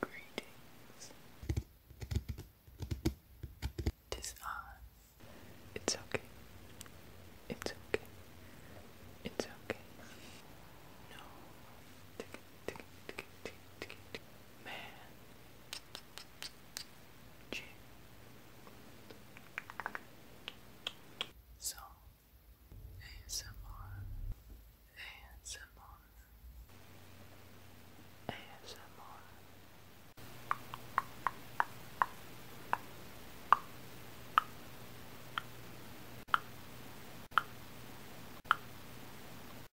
Greetings. Tis It's okay. It's okay. It's okay. No. Man. G. So, ASMR, ASMR, ASMR.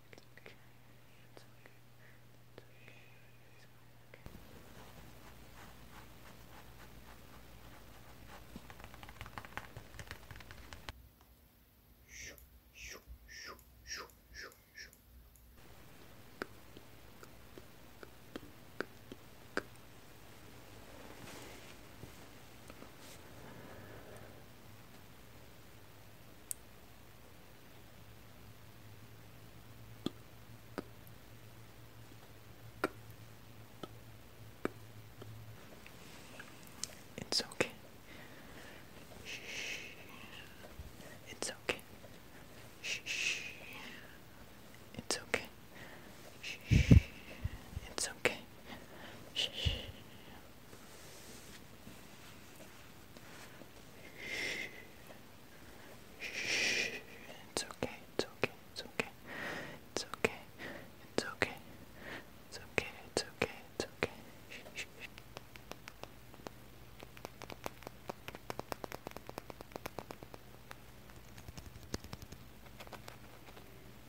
It's okay. It's okay. It's okay. It's okay. Shoo, shoo, shoo, shoo, shoo, shoo. Good, it's okay. Shh. It's okay. Shh. It's okay. Shh. It's okay. Shh. Shh. Shh. It's okay. It's okay. It's okay. It's okay. It's okay. It's okay. It's okay. It's okay. Shh. Shh. Shh.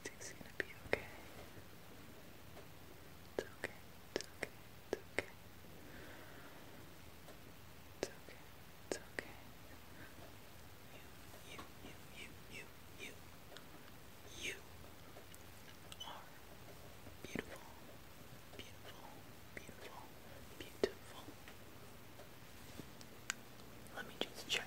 Everything's gonna be okay. It's okay. It's okay. It's okay. It's okay. It's okay. You, you, you, you, you, you, you are beautiful, beautiful, beautiful, beautiful. Let me just check.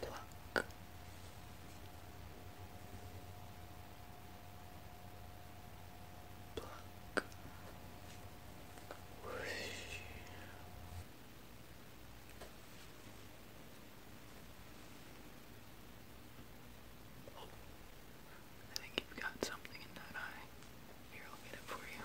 Pluck. Pluck. Oh, I think you've got something in that eye. Here, I'll get it for you.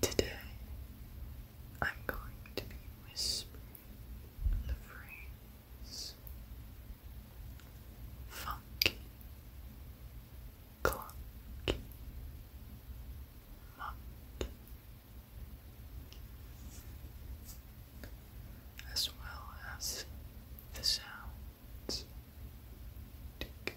Today, I'm going to be whispering the phrase funky, clunky, monkey, as well as the sounds tick,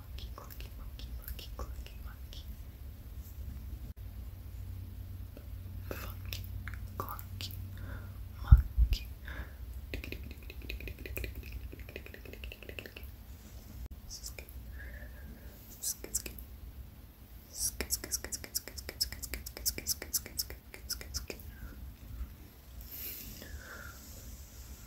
monkey, clucky, monkey, monkey, clucky, monkey. Funky, clunky, monkey. Skit, skit, skit. Skit, skit, skit, skit, skit, skit, skit, skit, skit, skit, skit, skit, skit, skit.